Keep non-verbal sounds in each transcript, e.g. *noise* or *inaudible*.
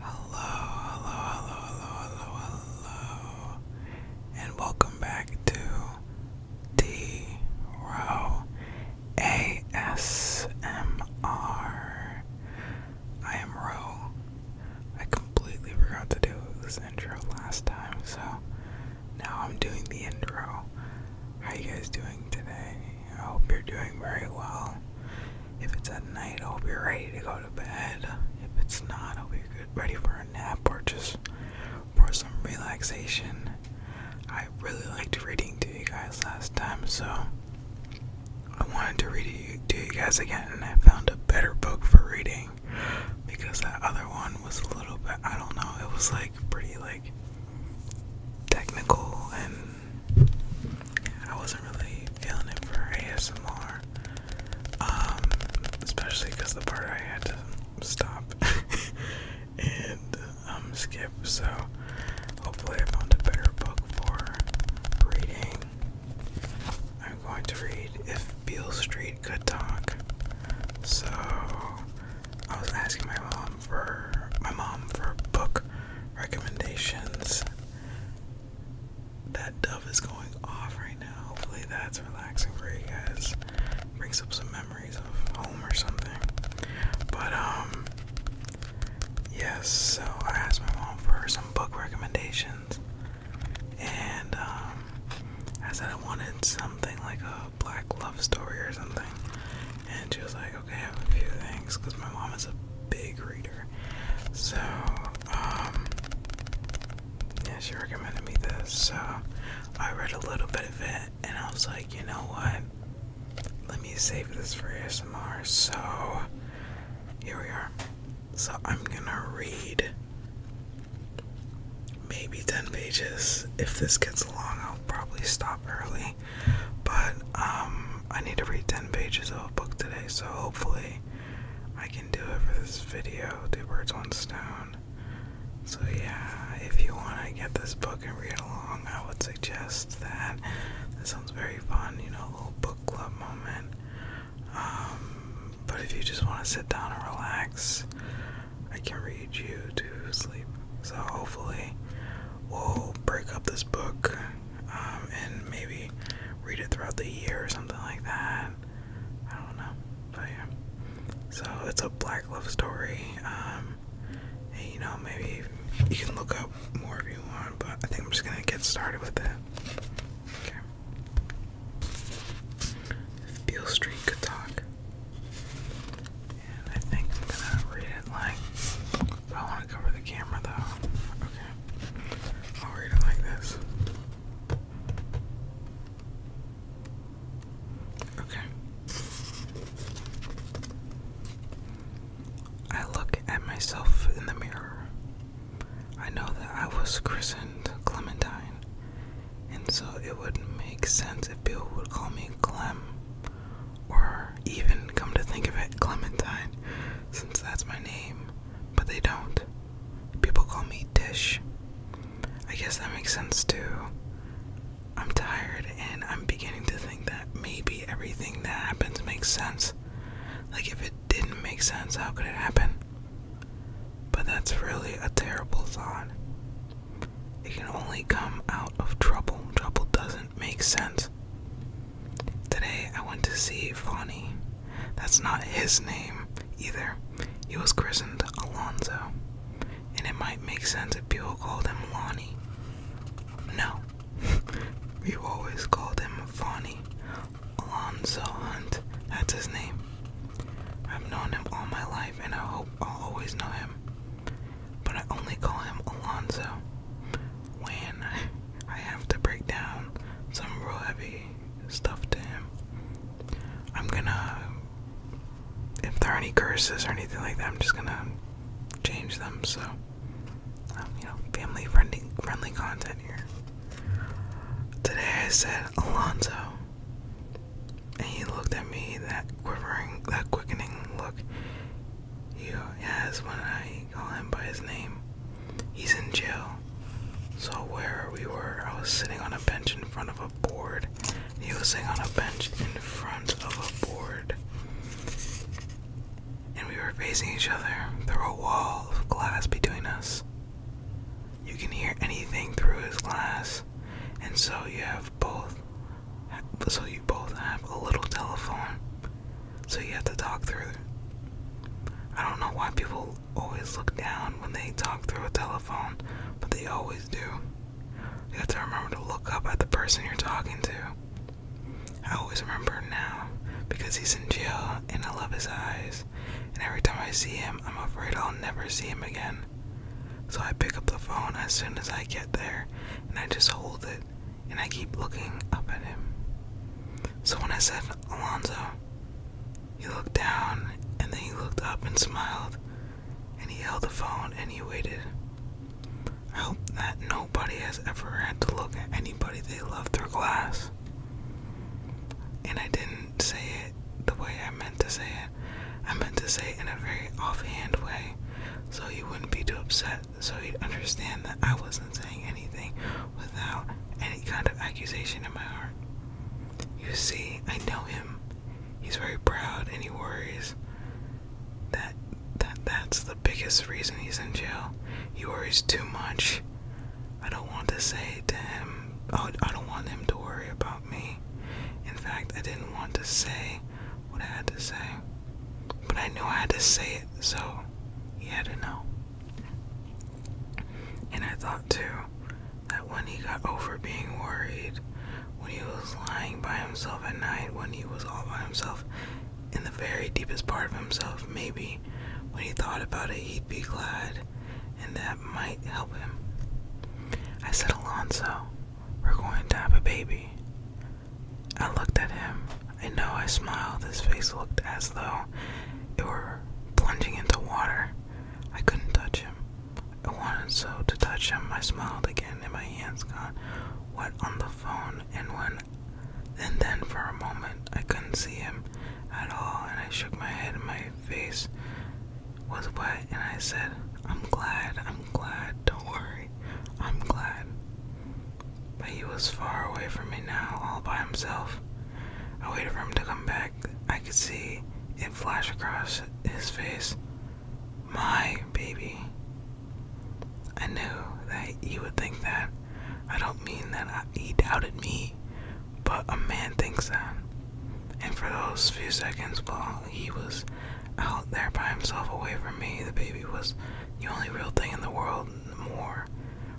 Hello, hello, hello, hello, hello, hello, and welcome back to D Row ASMR. I am Row. I completely forgot to do this intro last time, so now I'm doing the intro. How are you guys doing today? I hope you're doing very well. If it's at night, I hope you're ready to go to bed. If it's not, I will be good, ready for a nap or just for some relaxation. I really liked reading to you guys last time, so I wanted to read it to you guys again, and I found a better book for reading because that other one was a little bit, I don't know, it was like pretty like technical and I wasn't really feeling it for ASMR, um, especially because the part I had to stop *laughs* and um, skip. So hopefully, I found a better book for reading. I'm going to read If Beale Street Could Talk. So I was asking my mom for my mom for book recommendations. That dove is going off right now. Hopefully that's relaxing for you guys. Brings up some memories of home or something. But um yes, so I asked my mom for some book recommendations. And um I said I wanted something like a black love story or something and she was like, okay, I have a few things because my mom is a big reader. So, um, yeah, she recommended me this. So I read a little bit of it and I was like, you know what? Let me save this for ASMR. So here we are. So I'm gonna read maybe 10 pages. If this gets long, I'll probably stop early. But um, I need to read 10 pages of a book today, so hopefully I can do it for this video. Two birds, one stone. So, yeah, if you want to get this book and read along, I would suggest that. That sounds very fun, you know, a little book club moment. Um, but if you just want to sit down and relax, I can read you to sleep. So, hopefully, we'll break up this book um, and maybe read it throughout the year or something like that. I don't know, but yeah. So it's a black love story. Um, you know, maybe you can look up more if you want, but I think I'm just gonna get started with it. Okay. If Street could talk. I think I'm gonna read it like. I want to cover the camera though. Okay. I'll read it like this. Okay. I look at myself in the mirror. I know that I was christened Clementine, and so it would make sense if Bill would call me Clem or even come to think of it, Clementine, since that's my name, but they don't. People call me Dish. I guess that makes sense too. I'm tired and I'm beginning to think that maybe everything that happens makes sense. Like, if it didn't make sense, how could it happen? But that's really a terrible thought. It can only come out of trouble. Trouble doesn't make sense. Today I went to see Fani. That's not his name either. He was christened Alonzo. And it might make sense if people called him Lonnie. No. *laughs* We've always called him Fani. Alonzo Hunt. That's his name. I've known him all my life and I hope I'll always know him but I only call him Alonzo when I, have to break down some real heavy stuff to him. I'm gonna, if there are any curses or anything like that, I'm just gonna change them so, um, you know, family friendly, friendly content here. Today I said Alonzo, and he looked at me that quivering, that quickening look he has when I call him by his name. He's in jail. So where we were, I was sitting on a bench in front of a board. he was sitting on a bench in front of a board. And we were facing each other. through a wall of glass between us. You can hear anything through his glass, and so you have both so you both have a little telephone, so you have to talk through it. I don't know why people always look down when they talk through a telephone, but they always do. You have to remember to look up at the person you're talking to. I always remember now because he's in jail and I love his eyes, and every time I see him, I'm afraid I'll never see him again. So I pick up the phone as soon as I get there and I just hold it and I keep looking up at him. So when I said Alonzo, he looked down and then he looked up and smiled and he held the phone and he waited. I hope that nobody has ever had to look at anybody they love through glass. And I didn't say it the way I meant to say it. I meant to say in a very offhand way so he wouldn't be too upset, so he'd understand that I wasn't saying anything without any kind of accusation in my heart. You see, I know him. He's very proud and he worries. That that that's the biggest reason he's in jail. He worries too much. I don't want to say to him I, I don't want him to worry about me. In fact, I didn't want to say what I had to say, but I knew I had to say it, so he had to know. And I thought too that when he got over being worried, when he was lying by himself at night, when he was all by himself in the very deepest part of himself, maybe when he thought about it, he'd be glad and that might help him. I said, Alonso, we're going to have a baby. I looked at him. I know I smiled. His face looked as though it were plunging into water. I couldn't touch him. I wanted so to touch him. I smiled again, and my hands got wet on the phone. And when, and then for a moment, I couldn't see him at all, and I shook my head. My face was wet, and I said, I'm glad, I'm glad, don't worry, I'm glad. But he was far away from me now, all by himself. I waited for him to come back. I could see it flash across his face. My baby. I knew that you would think that. I don't mean that he doubted me but a man thinks that. And for those few seconds while he was out there by himself away from me, the baby was the only real thing in the world, more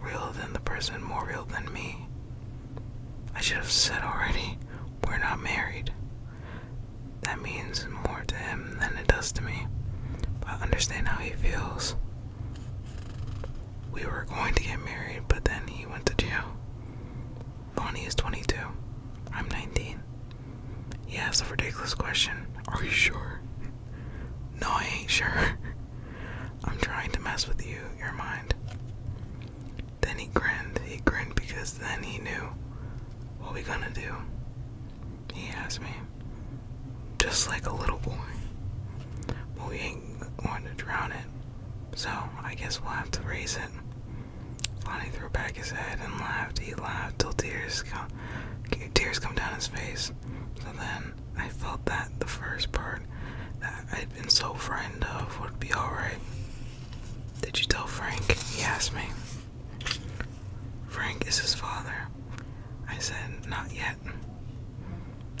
real than the person, more real than me. I should have said already, we're not married. That means more to him than it does to me. But I understand how he feels. We were going to get married, but then he went to jail. Bonnie is 22. I'm 19. He asked a ridiculous question. Are you sure? No, I ain't sure. *laughs* I'm trying to mess with you, your mind. Then he grinned. He grinned because then he knew what we gonna do. He asked me, just like a little boy. Well, we ain't going to drown it. So I guess we'll have to raise it. Lonnie threw back his head and laughed. He laughed till tears come, tears come down his face. So then I felt that the first part that I'd been so frightened of would be alright. Did you tell Frank? He asked me. Frank is his father. I said, Not yet.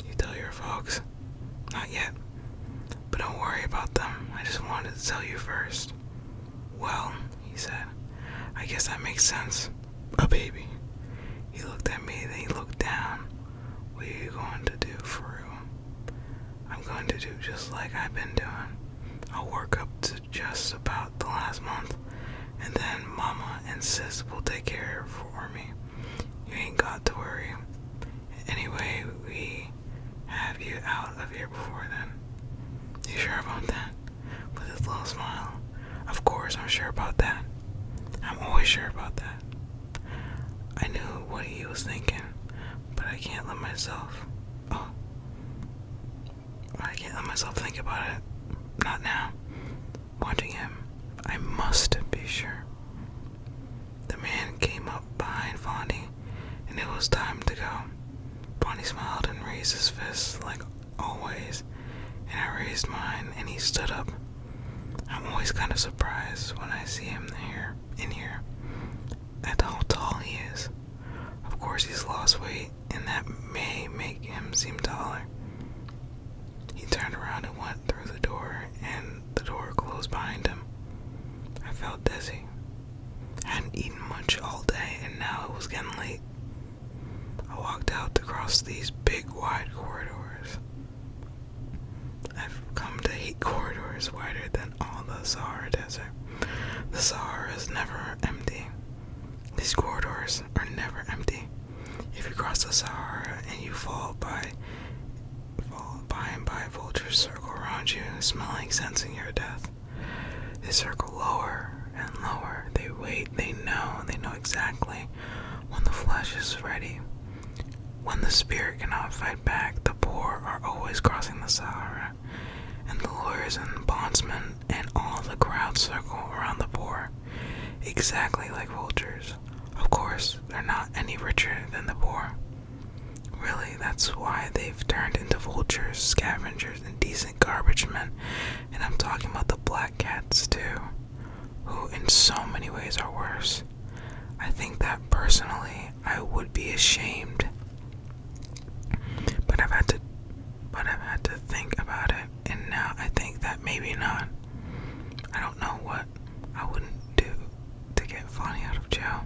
You tell your folks? Not yet. But don't worry about them. I just wanted to tell you first. Well, he said, I guess that makes sense. A baby. He looked at me, then he looked down. What are you going to do for real? I'm going to do just like I've been doing. I'll work up to just about the last month, and then Mama and Sis will take care of for me. You ain't got to worry. Anyway, we have you out of here before then. You sure about that? With his little smile. Of course, I'm sure about that. I'm always sure about that. I knew what he was thinking, but I can't let myself. Oh. I can't let myself think about it. Not now. Watching him, I must be sure. The man came up behind Fondy, and it was time to go. Bonnie smiled and raised his fist like always, and I raised mine, and he stood up. I'm always kind of surprised when I see him there, in here, at how tall he is. Of course, he's lost weight, and that may make him seem taller. He turned around and went through the door, and the door closed behind him. I felt dizzy. I hadn't eaten much all day, and now it was getting late. I walked out across these big, wide corridors. I've come to hate corridors wider than all the Sahara Desert. The Sahara is never empty. These corridors are never empty. If you cross the Sahara and you fall by, fall by and by, vultures circle around you, smelling, sensing your death. They circle lower and lower. They wait. They know. They know exactly when the flesh is ready. When the spirit cannot fight back, the poor are always crossing the Sahara, and the lawyers and bondsmen and all the crowd circle around the poor, exactly like vultures. Of course, they're not any richer than the poor. Really, that's why they've turned into vultures, scavengers, and decent garbage men. And I'm talking about the black cats, too, who in so many ways are worse. I think that personally I would be ashamed. But I've had to but I've had to think about it and now I think that maybe not. I don't know what I wouldn't do to get Fonny out of jail.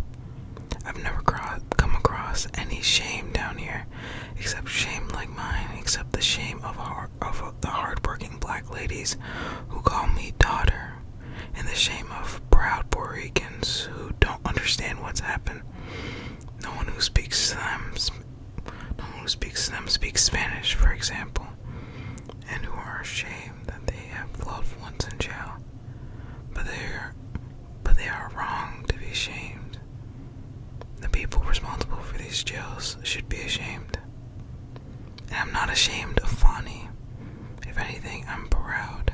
I've never come across any shame down here, except shame like mine, except the shame of, hard, of the hardworking black ladies who call me daughter, and the shame of proud Puerto Ricans who don't understand what's happened. No one who speaks to them who speaks them speaks Spanish, for example, and who are ashamed that they have loved ones in jail. But they are, but they are wrong to be ashamed. The people responsible for these jails should be ashamed. And I'm not ashamed of Fani. If anything, I'm proud.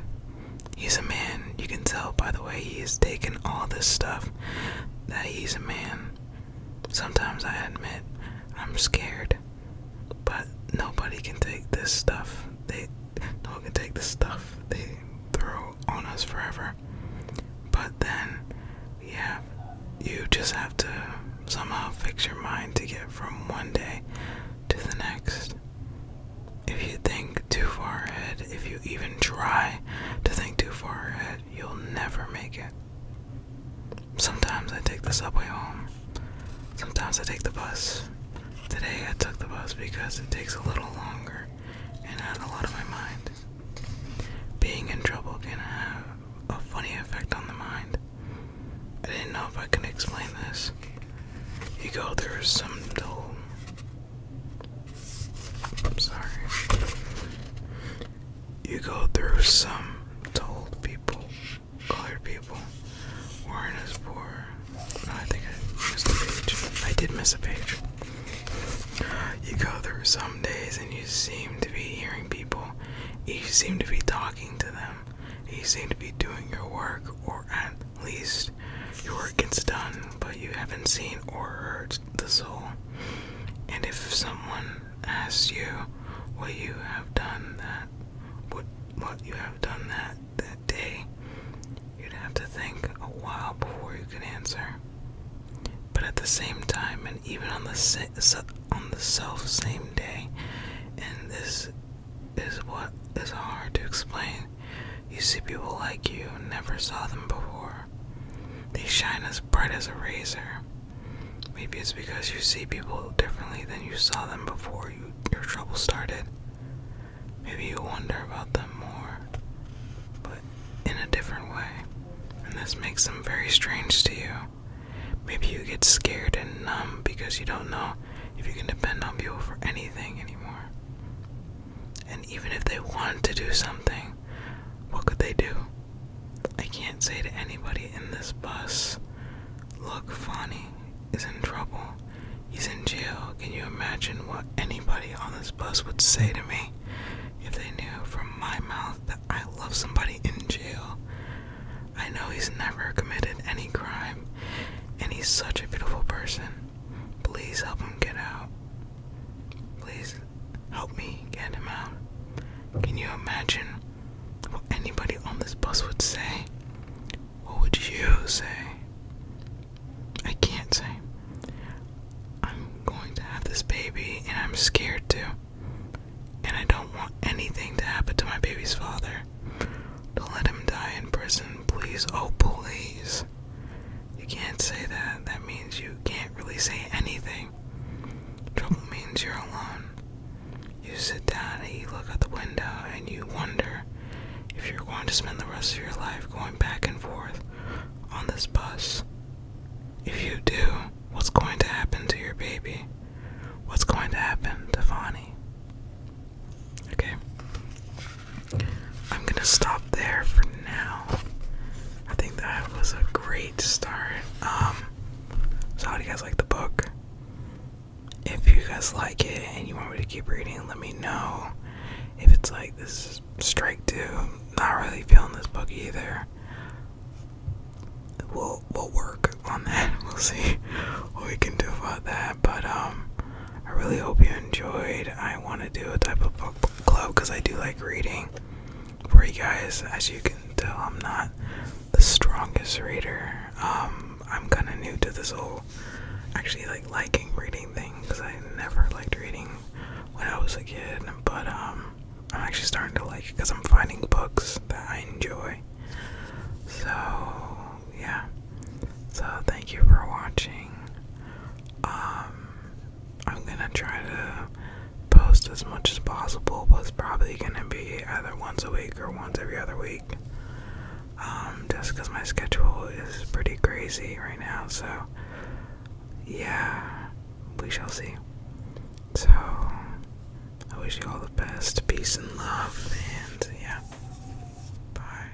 He's a man. You can tell by the way he has taken all this stuff that he's a man. Sometimes I admit I'm scared, but nobody can take this stuff. They no one can take this stuff they throw on us forever. But then yeah, you just have to somehow fix your mind to get from one day to the next. If you think too far ahead, if you even try to think too far ahead, you'll never make it. Sometimes I take the subway home. Sometimes I take the bus. Today I took the bus because it takes a little longer and had a lot on my mind. Being in trouble can have a funny effect on the mind. I didn't know if I could explain this. You go There is some dull. I'm sorry you go through some told people, colored people, weren't as poor. I think I missed a page. I did miss a page. You go through some days and you seem to be hearing people. You seem to be talking to them. You seem to be doing your work, or at least your work gets done, but you haven't seen or heard the soul. And if someone asks you what you have done that what what you have done that that day, you'd have to think a while before you could answer. But at the same time, and even on the se on the self same day, and this is what is hard to explain. You see people like you never saw them before. They shine as bright as a razor. Maybe it's because you see people differently than you saw them before your trouble started. Maybe you wonder about them more, but in a different way. And this makes them very strange to you. Maybe you get scared and numb because you don't know if you can depend on people for anything anymore. And even if they wanted to do something, what could they do? I can't say to anybody in this bus, Look, Fani is in trouble. He's in jail. Can you imagine what anybody on this bus would say to me if they knew from my mouth that I love somebody in jail? I know he's never committed any crime, and he's such a beautiful person. Please help him get out. Please help me get him out. Can you imagine what anybody on this bus would say? What would you say? I can't say. I'm going to have this baby and I'm scared too. And I don't want anything to happen to my baby's father. Don't let him die in prison, please. Oh, please. You can't say that. That means you can't really say anything. Trouble means you're alone. You sit down and you look at the window and you wonder if you're going to spend the rest of your life going back and forth on this bus. If you do, what's going to happen to your baby? What's going to happen to Fani? Okay. I'm gonna stop there for now. I think that was a great start. Um, so how do you guys like the book? If you guys like it and you want me to keep reading, let me know. If it's like this strike two, not really feeling this book either. We'll we'll work on that. *laughs* We'll see what we can do about that. But um, I really hope you enjoyed. I want to do a type of book club because I do like reading for you guys. As you can tell, I'm not the strongest reader. Um, I'm kind of new to this whole actually like liking reading thing because I never liked reading when I was a kid, but um, I'm actually starting to like it because I'm finding books that I enjoy. So, yeah. So, thank you for watching. Um, I'm gonna try to post as much as possible, but it's probably gonna be either once a week or once every other week. Um, just because my schedule is pretty crazy right now, so yeah, we shall see. So, I wish you all the best, peace and love, and yeah, bye.